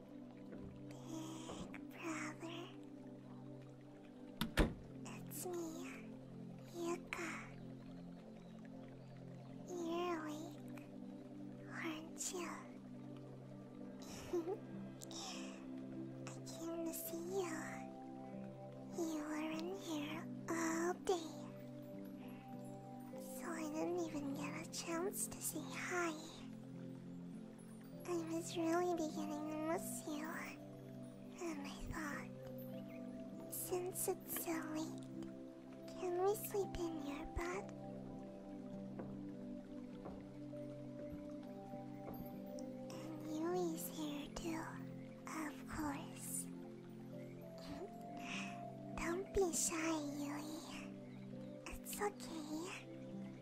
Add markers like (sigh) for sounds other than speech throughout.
Big brother. That's me, Yuka. You're awake, aren't you? I came to see you. You were in here all day. So I didn't even get a chance to say hi. I was really beginning to miss you. And I thought, since it's so late, can we sleep in your bed? And Yui's here too, of course. (laughs) Don't be shy, Yui. It's okay.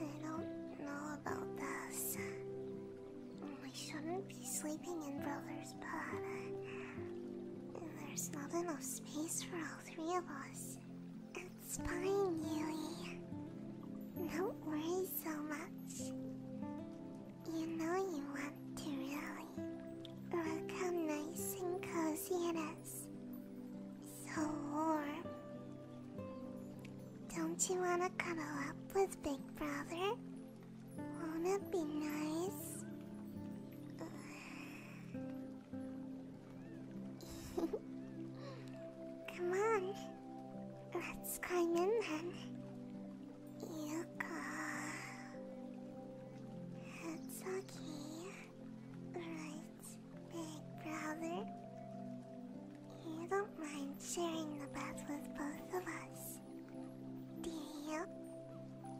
I don't know about this. I shouldn't be sleeping in Brother's bed. There's not enough space for all three of us. It's fine, Yui. Don't worry so much. You know you want to, really. We'll nice and cozy in so warm. Don't you want to cuddle up with Big Brother? Won't it be nice? (laughs) Come on, let's climb in then. Yuka. It's okay, right? Big brother. You don't mind sharing the bed with both of us, do you?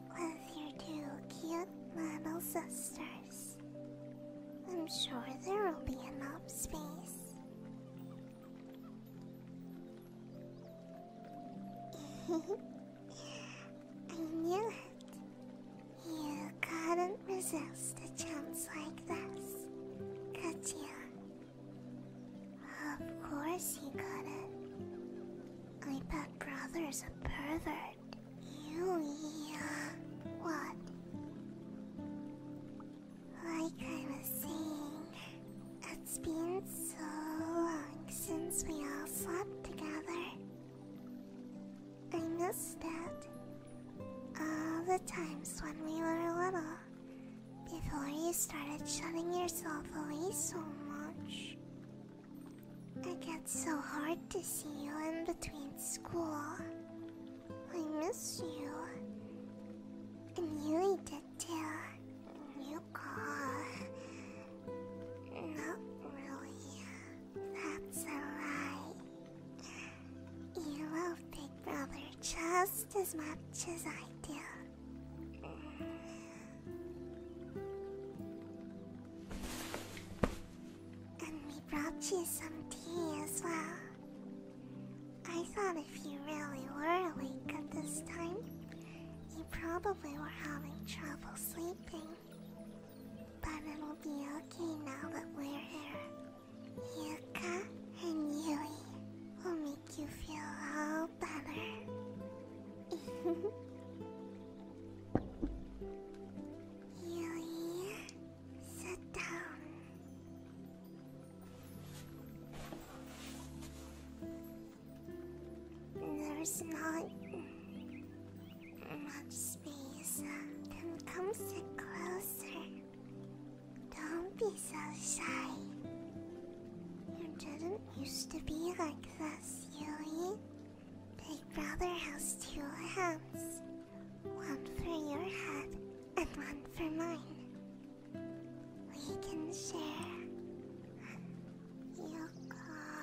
With your two cute little sisters. I'm sure there will be enough space. (laughs) I knew it. You couldn't resist a chance like this, could you? Of course you couldn't. I bet brother's a pervert. You, yeah. What? Like I was saying, it's been so long since we all slept together. I miss that. All the times when we were little, before you started shutting yourself away so much. I get so hard to see you in between school. I miss you. And you did too. You call. Not really. That's a lie. You love Big Brother just as much as I do. And we brought you some tea as well. I thought if you really were awake at this time, you probably were having trouble sleeping. But it'll be okay now that we're here. Yuka and Yui will make you feel all better. (laughs) Yui, sit down. There's not much space. come sit closer. Don't be so shy. You didn't used to be like this, Yui. Big Brother has two hands one for your head and one for mine. We can share. Yoko.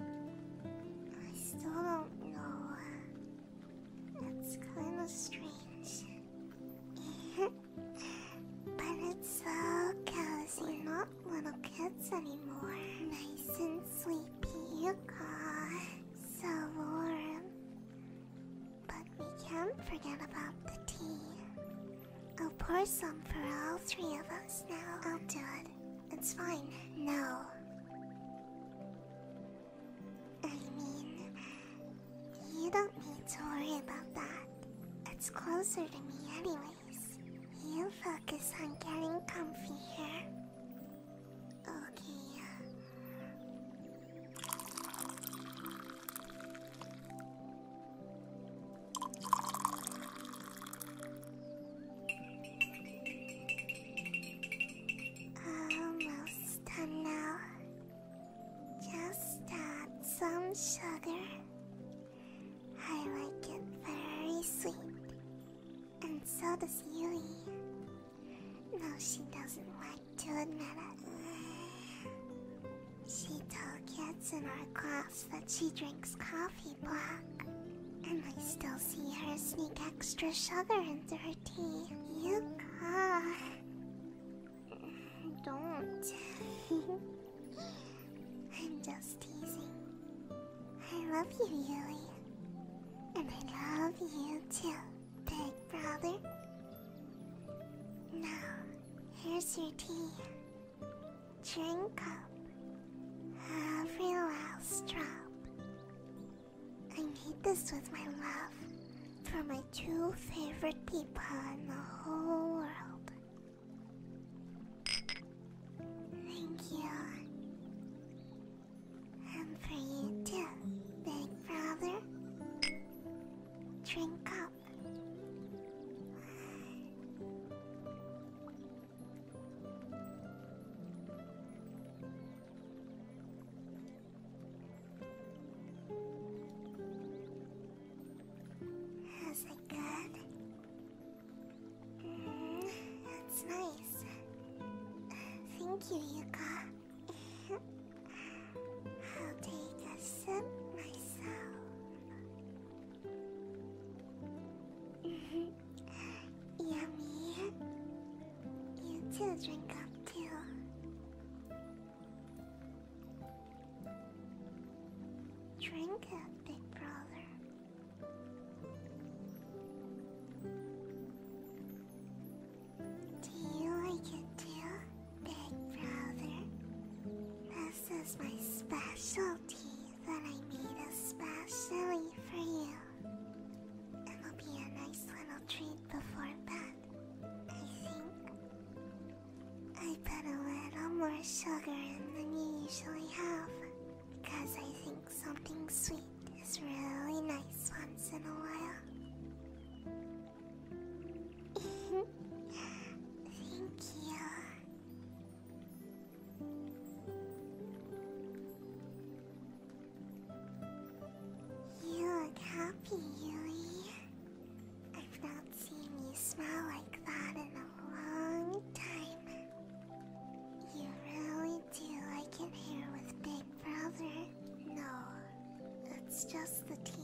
I still don't know it's kinda strange. (laughs) but it's so cozy, not little kids anymore. Nice and sleepy you are. So warm. But we can't forget about the tea. I'll pour some for all three of us now. I'll do it. It's fine. No. I mean, you don't need to worry about that. It's closer to me, anyways. You focus on getting comfy here. Okay. Almost done now. Just add some sugar. I like it very sweet. And so does Yui. No, she doesn't like to admit it. She told kids in our class that she drinks coffee black. And I still see her sneak extra sugar into her tea. Daddy, you cough. Don't. I'm (laughs) just teasing. I love you, Yui. And I love you too, big brother. Now, here's your tea. Drink up every last drop. I made this with my love for my two favorite people in the whole world. Thank you. And for you too, big brother. Drink up. Is it good? Mm, that's nice. Thank you, Yuka. I'll take a sip myself. (laughs) Yummy. You too, drink up too. Drink up, big brother. Do you like it too, big brother? This is my specialty that I made especially for you. It'll be a nice little treat before bed, I think. I put a little more sugar in than you usually have because I think something sweet is really nice once in a while. (laughs) Thank you. You look happy, Yui. I've not seen you smile like that in a long time. You really do like it here with Big Brother. No, it's just the tea.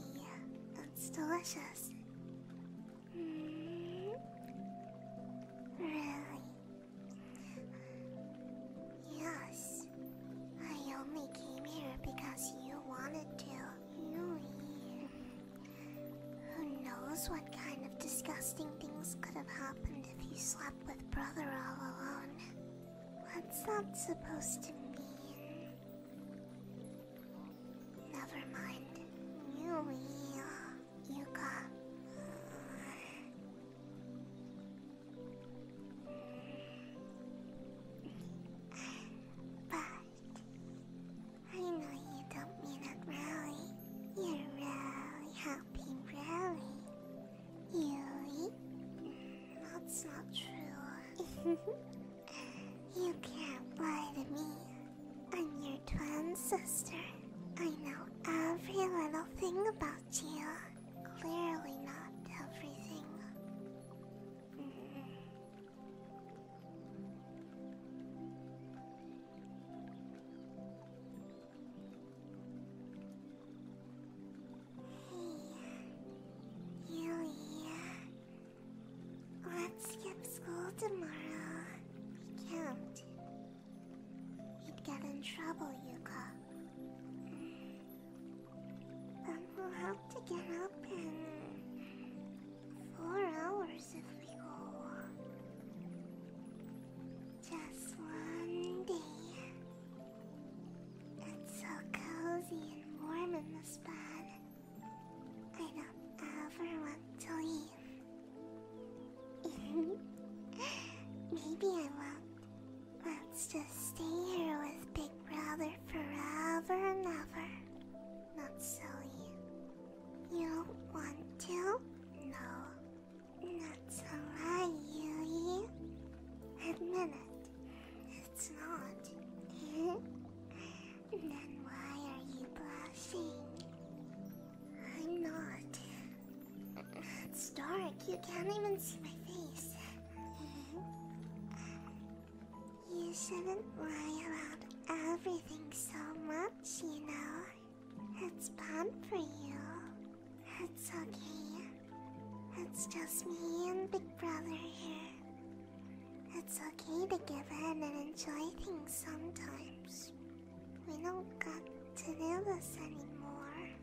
It's delicious. Hmm. Really, Yes, I only came here because you wanted to. Who knows what kind of disgusting things could have happened if you slept with brother all alone? What's that supposed to mean? Never mind. Yui, Yuka. But I know you don't mean it really. You're really happy, really. Really? That's not true. (laughs) you can't lie to me. I'm your twin sister. I know every little thing about you clearly not everything. Mm -hmm. let's skip school tomorrow. We can't. You'd get in trouble, Yuko we'll have to get up in four hours if we go. Just one day. It's so cozy and warm in this bed. I don't ever want to leave. (laughs) Maybe I won't. Let's just stay here with Big Brother forever and ever. Not silly. You don't want to? No. Not so right, you. Admit it. It's not. (laughs) then why are you blushing? I'm not. It's dark. You can't even see my face. You shouldn't lie about everything so much, you know. It's bad for you. It's okay. It's just me and Big Brother here. It's okay to give in and enjoy things sometimes. We don't got to do this anymore.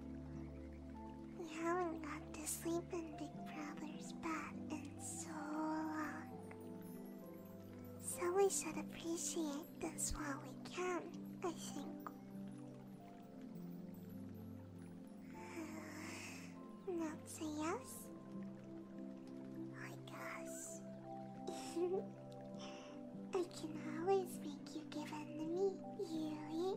We haven't got to sleep in Big Brother's bed in so long. So we should appreciate this while we can, I think. (sighs) That's a yes? I guess. (laughs) I can always make you give in to me, Yui.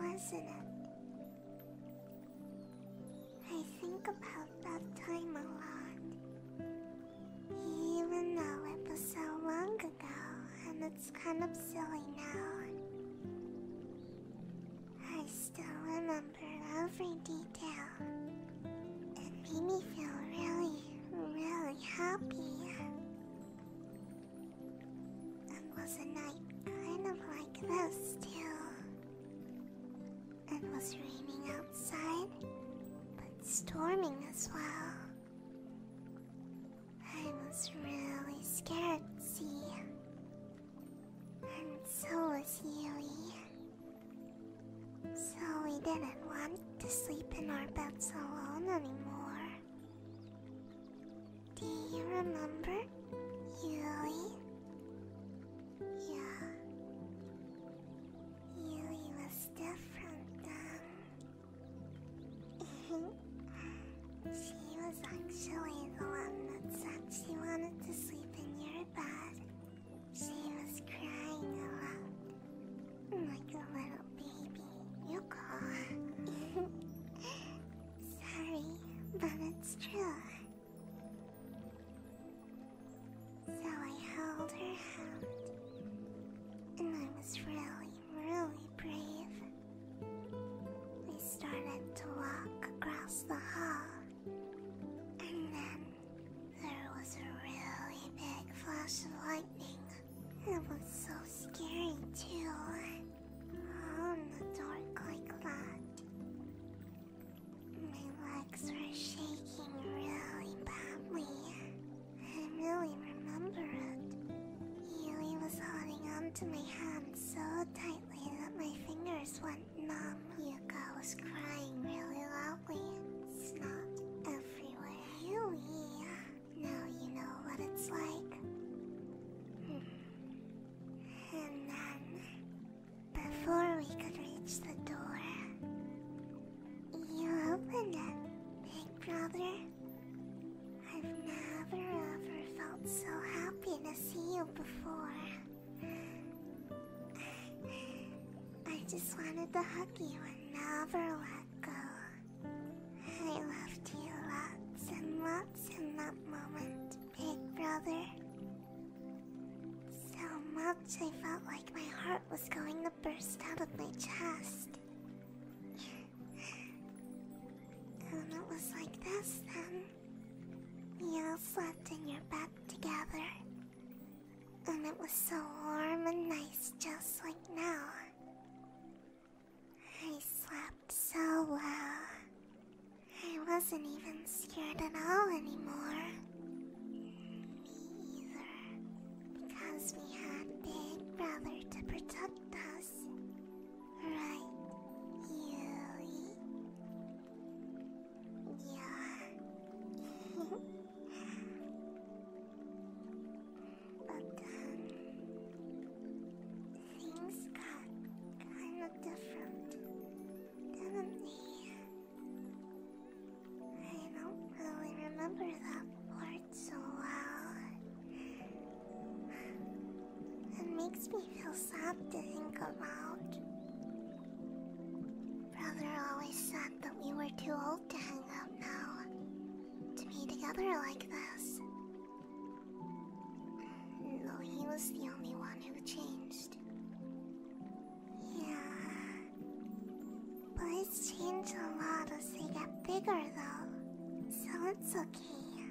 wasn't it? I think about that time a lot. Even though it was so long ago and it's kind of silly now, I still remember every detail. It made me feel really, really happy. And was a night kind of like this, too. It was raining outside, but storming as well. I was really scared, see? And so was Yui. So we didn't want to sleep in our beds alone anymore. Do you remember, Yui? Yeah. Yui was different then. (laughs) she was actually the one that said she wanted to sleep in your bed. She was crying a lot. Like a little baby. You call. (laughs) Sorry, but it's true. So I held her hand, and I was really, really brave. We started to walk across the hall, and then there was a really big flash of lightning. It was so scary, too on um, the dark like that. My legs were shaking really badly. I really remember it. Yui was holding onto my hand so tightly that my fingers went numb. Yuka was crying really loudly. Snot everywhere. Yui, now you know what it's like. Hmm. And then, before we could reach the door, you opened it, big brother. I've never ever felt so happy to see you before. (laughs) I just wanted to hug you and never let go. I loved you lots and lots in that moment big brother. So much I felt like my heart was going to burst out of my chest. and it was like this then. We all slept in your bed together. And it was so warm and nice just like now. I slept so well. I wasn't even scared at all anymore. Me either. Because we had Big Brother to protect us. Right, Yui? Yeah. (laughs) but um, things got kind of different, didn't they? I don't really remember that part so well. It makes me feel sad to think about. Brother always said that we were too old to hang out now, to be together like this. No, he was the only one who changed. Yeah. Boys change a lot as they get bigger, though. So it's okay.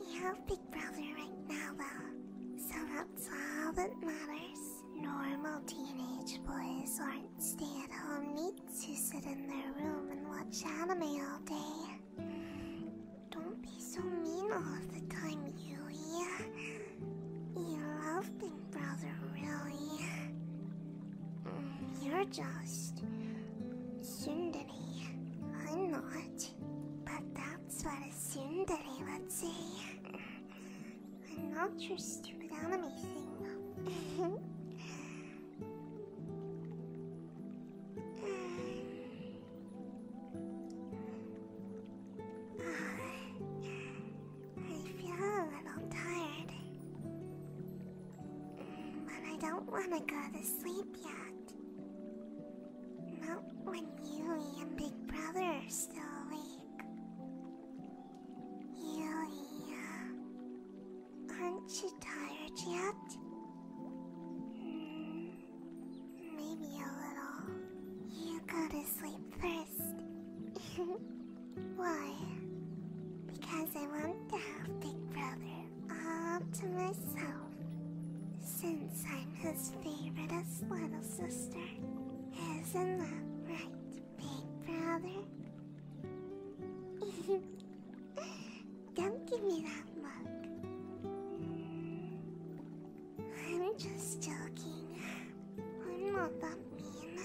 We have Big Brother right now, though. So that's all that matters. Normal teenage boys aren't stay at home neats who sit in their room and watch anime all day. Don't be so mean all the time, Yui. You love Big Brother, really. Mm, you're just Sundari. I'm not. But that's what a Sundari would say. I'm not your stupid anime thing. (laughs) (sighs) I feel a little tired. Mm, but I don't want to go to sleep yet. Not when Yui and Big Brother are still awake. Yui, aren't you tired yet? Mm, Maybe a little. You go to sleep first. (laughs) Why? Because I want to have Big Brother all to myself. Since I'm his favoriteest little sister. Isn't that right, Big Brother? (laughs) Don't give me that look. I'm just joking. I'm not that mean.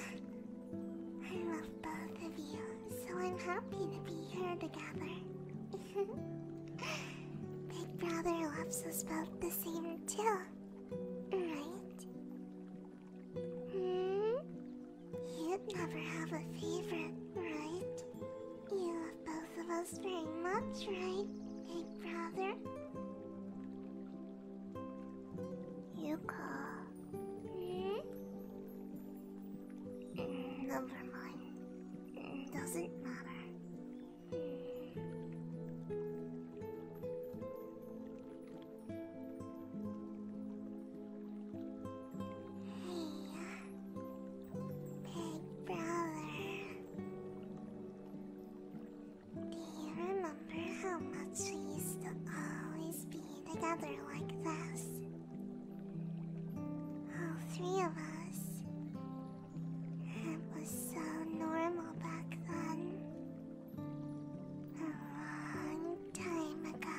I love both of you, so I'm happy to be here together. Big (laughs) Brother loves us both the same, too. Right? Hmm? You'd never have a favorite, right? You love both both of us very much, right, big brother? Yuko. Hmm? Never mind. Doesn't matter. Hmm. Hey, uh, Big brother. Do you remember how much we used to always be together like this? All three of us. It was so normal back then. A long time ago.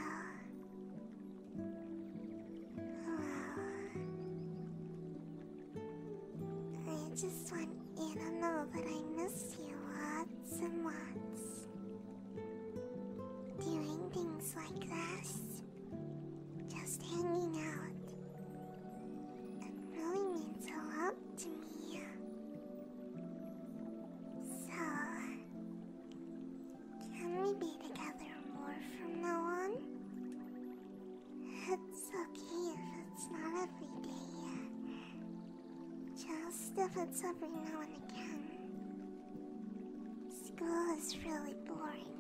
I just want you to know that I miss you lots and lots. Doing things like this, just hanging out, it really means a lot to me. So, can we be together more from now on? It's okay if it's not every day yet. Just if it's every now and again. School is really boring.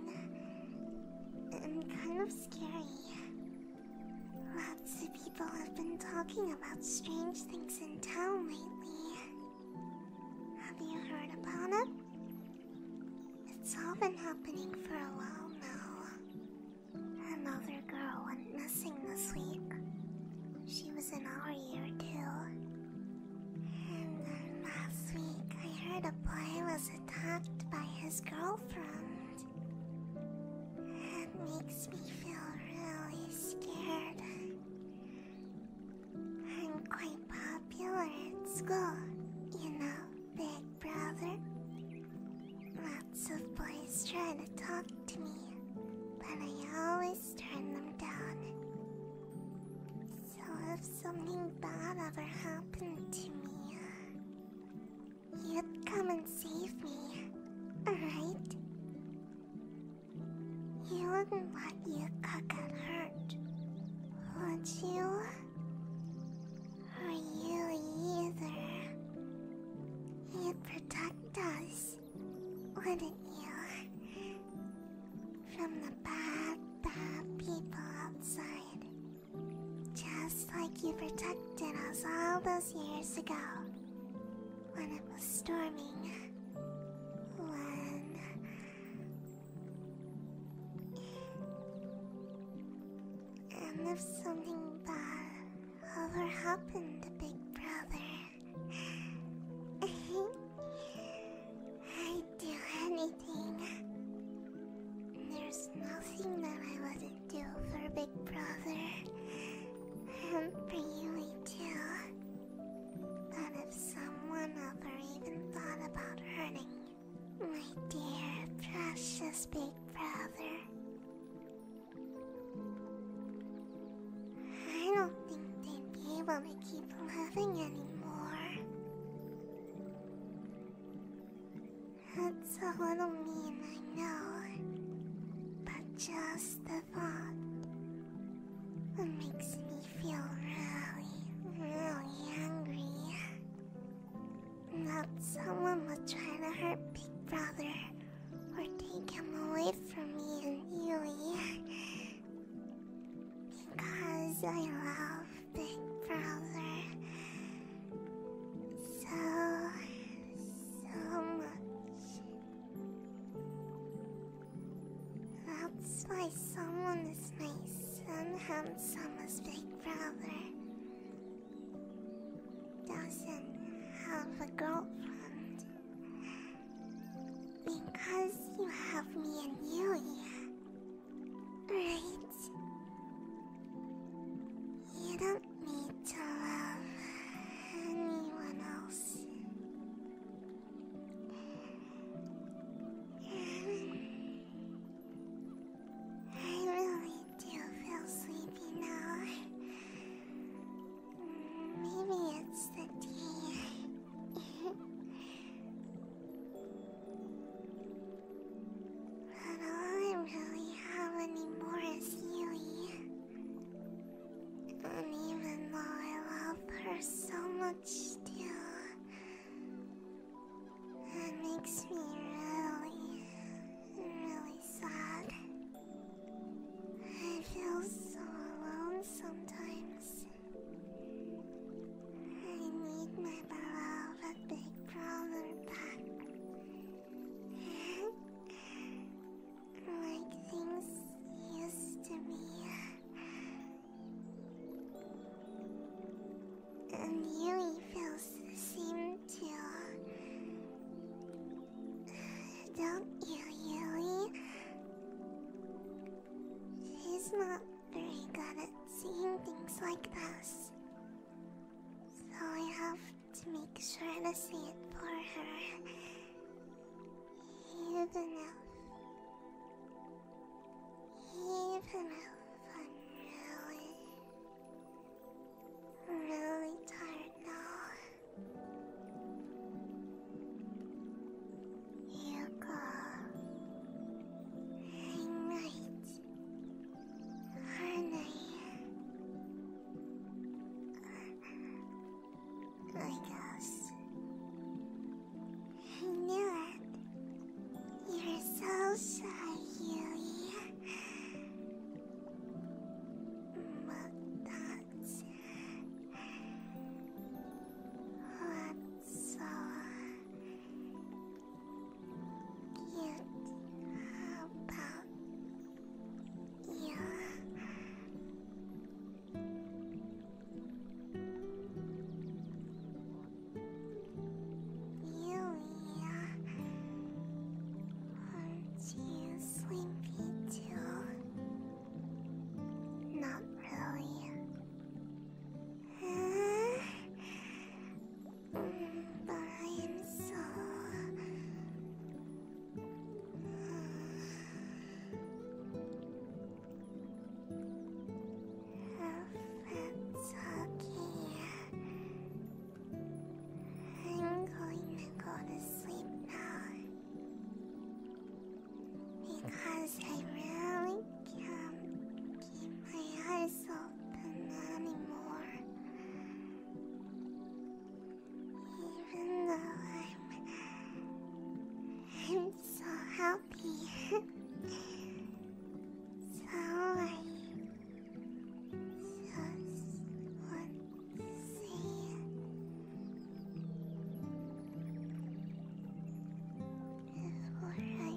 And kind of scary. Lots of people have been talking about strange things in town lately. Have you heard about it? It's all been happening for a while now. Another girl went missing this week. She was in our year too. And then last week I heard a boy was attacked by his girlfriend. It makes me feel really scared. I'm quite popular at school, you know big brother. Lots of boys try to talk to me, but I always turn them down. So if something bad ever happened to me, you'd come and save me, alright? You wouldn't want you cook at hurt, would you? or you either. You'd protect us, wouldn't you? From the bad, bad people outside. Just like you protected us all those years ago when it was storming. When and if something bad ever happened to Big Brother, (laughs) I'd do anything. There's nothing that I wouldn't do for Big Brother. And for you, too. But if someone ever even thought about hurting my dear, precious big brother. I don't think they'd be able to keep loving anymore. It's a little mean, I know, but just the thought it makes me feel really, really hungry that someone was trying to hurt Big Brother or take him away from me and you, Because I love Big Brother so, so much. That's why someone is nice and handsome brother doesn't have a girlfriend because you have me and Yulia, right? You don't need to love anyone else. I really do feel sleepy now. Maybe it's the tea. but (laughs) I really have anymore is Yui. And even though I love her so much still, it makes me really, really sad. I feel so alone sometimes. I need my beloved big brother back. like things used to be and Yui feels seem to. Don't you, Yui? She's not very good at seeing things like this. So I have to make sure to see it for her. Even if. Even if I'm really really tired now. You go. Good night, aren't I? I I knew it. You're so shy, Huey. so cute about you. Yulia, aren't you sleepy too? Not really. But I am so. That's okay. I'm going to go to sleep now. Because I really can't keep my eyes open anymore. Even though I'm, I'm so happy. (laughs) so just want to before I fall asleep. I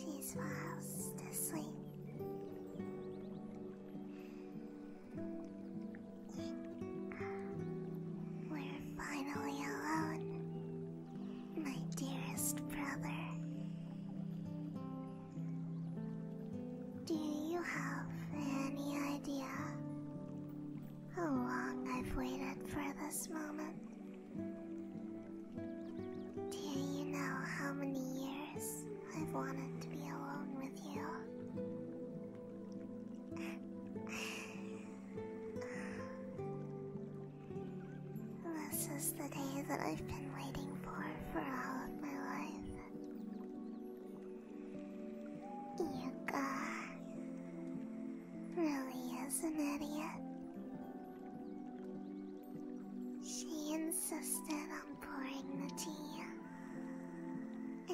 She smiles to sleep. We're finally alone, my dearest brother. Do you have any idea how long I've waited for this moment? Do you know how many years I've wanted to be alone with you? This is the day that I've been waiting for for all of my life. Yuka really is an idiot. She insisted on pouring the tea,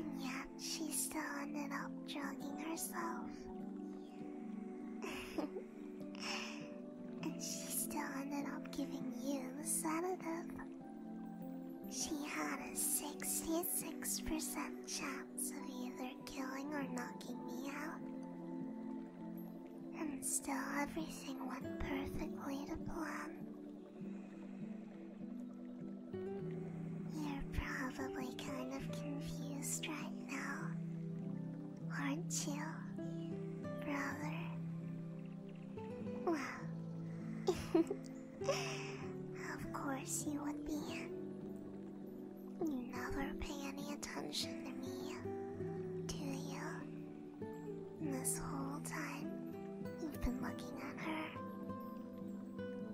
and yet she still ended up drugging herself. and she still ended up giving you the sedative. She had a 66% chance of either killing or knocking me out. And still everything went perfectly to plan. You're probably kind of confused right now, aren't you, brother? Well, (laughs) of course you would be. You never pay any attention to me, do you? This whole time, you've been looking at her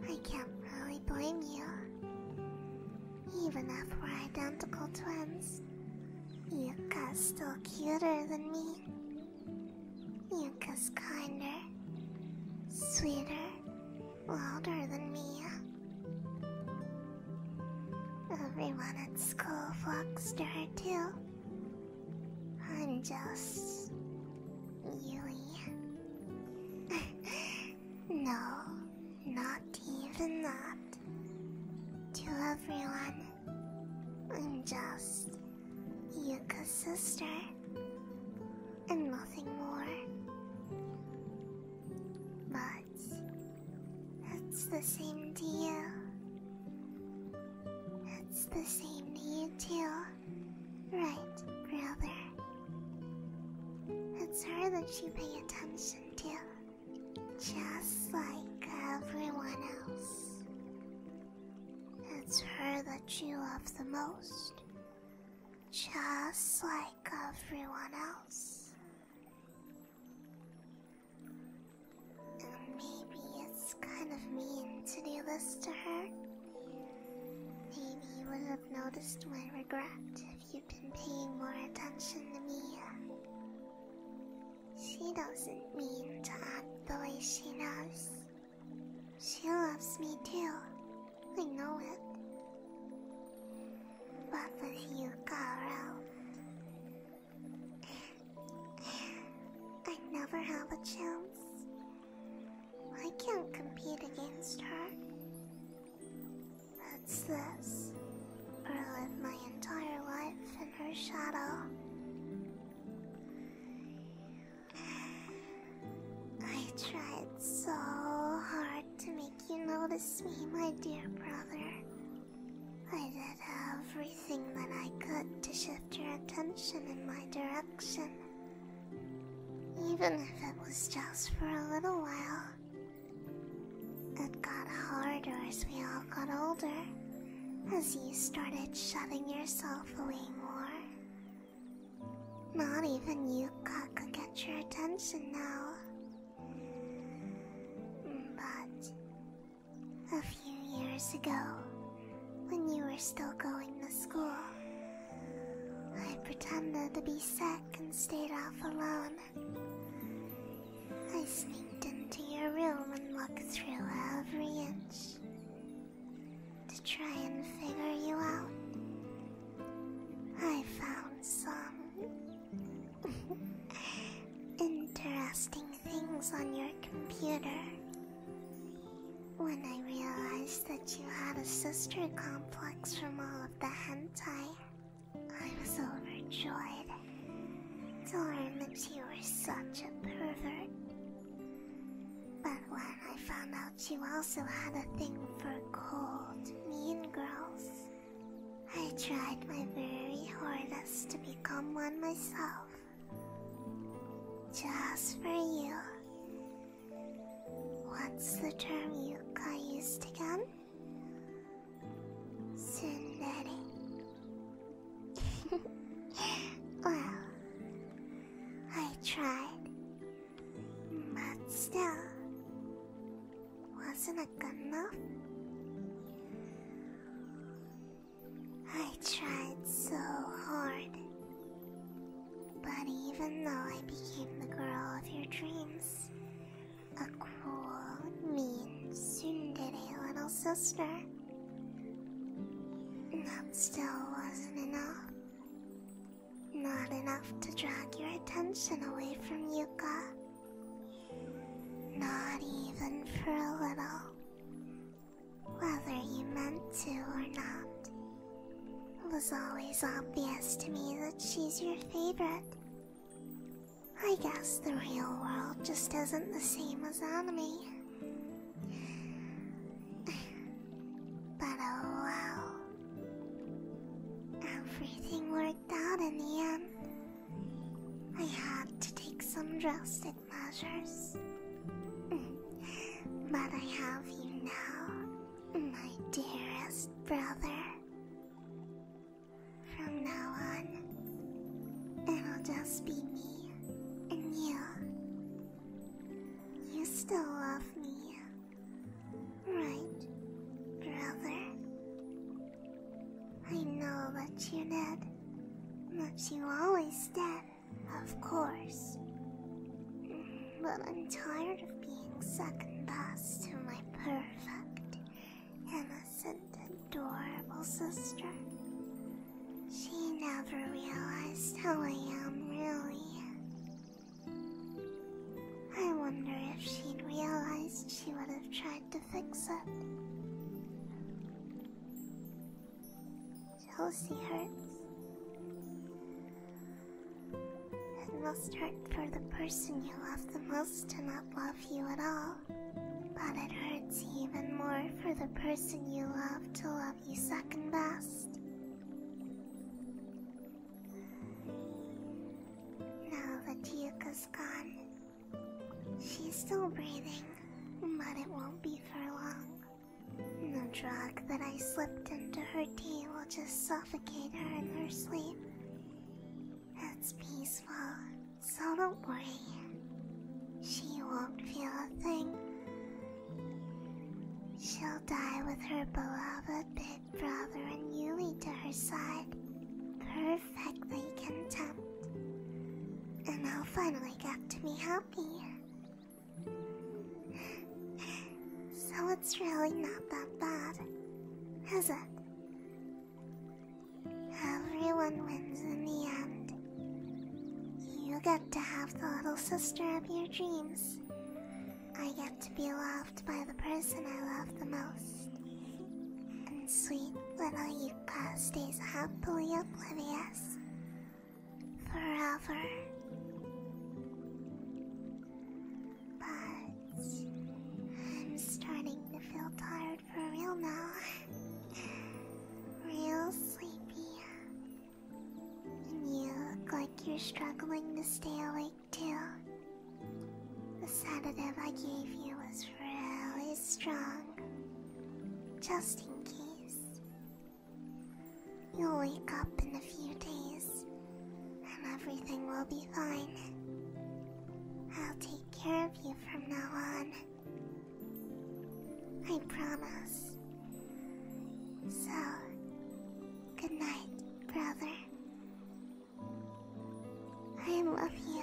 I can't really blame you. Even if we're identical twins, you got still cuter than me. Yuka's kinder, sweeter, wilder than me. Everyone at school flocks to her too. I'm just Yui. (laughs) no, not even that. To everyone, I'm just Yuka's sister and nothing more. But it's the same to you. It's the same to you too right, brother. It's her that you pay attention to, just like everyone else. It's her that you love the most, just like everyone else. And maybe it's kind of mean to do this to her. Maybe you would have noticed my regret if you'd been paying more attention to me. She doesn't mean to act the way she does. She loves me too. I know it. But with you Carol, I never have a chance. I can't compete against her. That's this. Or live my entire life in her shadow. I tried so hard to make you notice me, my dear brother. I did everything that I could to shift your attention in my direction. Even if it was just for a little while. It got harder as we all got older, as you started shutting yourself away more. Not even you could get your attention now. But a few years ago, when you were still going to school. I pretended to be sick and stayed off alone. I sneaked into your room and looked through every inch to try and figure you out. I found some (laughs) interesting things on your computer when I realized that you had a sister complex from all of the hentai, I was overjoyed. To learn that you were such a pervert. But when I found out you also had a thing for cold, mean girls, I tried my very hardest to become one myself. Just for you. What's the term you got used again? Tsundere. (laughs) well, I tried. But still, wasn't enough? I tried so hard. But even though I became the girl of your dreams, a cool, mean, tsundere little sister, that still wasn't enough. Not enough to drag your attention away from Yuka. Not even for a little whether you meant to or not. It was always obvious to me that she's your favorite. I guess the real world just isn't the same as anime. (laughs) but oh well. Everything worked out in the end. I had to take some drastic measures. (laughs) But I have you now, my dearest brother. From now on, it'll just be me and you. You still love me, right, brother? I know what you did, but you always did. Of course. But I'm tired of being second best to my perfect, innocent, adorable sister. She never realized how I am, really. I wonder if she'd realized she would have tried to fix it. Chelsea hurts. It must hurt for the person you love the most to not love you at all. But it hurts even more for the person you love to love you second best. Now the Yuka's gone, she's still breathing, but it won't be for long. The drug that I slipped into her tea will just suffocate her in her sleep. That's peaceful, so don't worry. She won't feel a thing. She'll die with her beloved big brother and Yuli to her side, perfectly content. And I'll finally get to be happy. So it's really not that bad, is it? Everyone wins in the end. You get to have the little sister of your dreams. I get to be loved by the person I love the most. And sweet little Yuka stays happily oblivious forever. But I'm starting to feel tired for real now. real sleepy. And you look like you're struggling to stay awake too. The sedative I gave you was really strong. Just in case. You'll wake up in a few days, and everything will be fine. I'll take care of you from now on. I promise. So, good night, brother. I love you.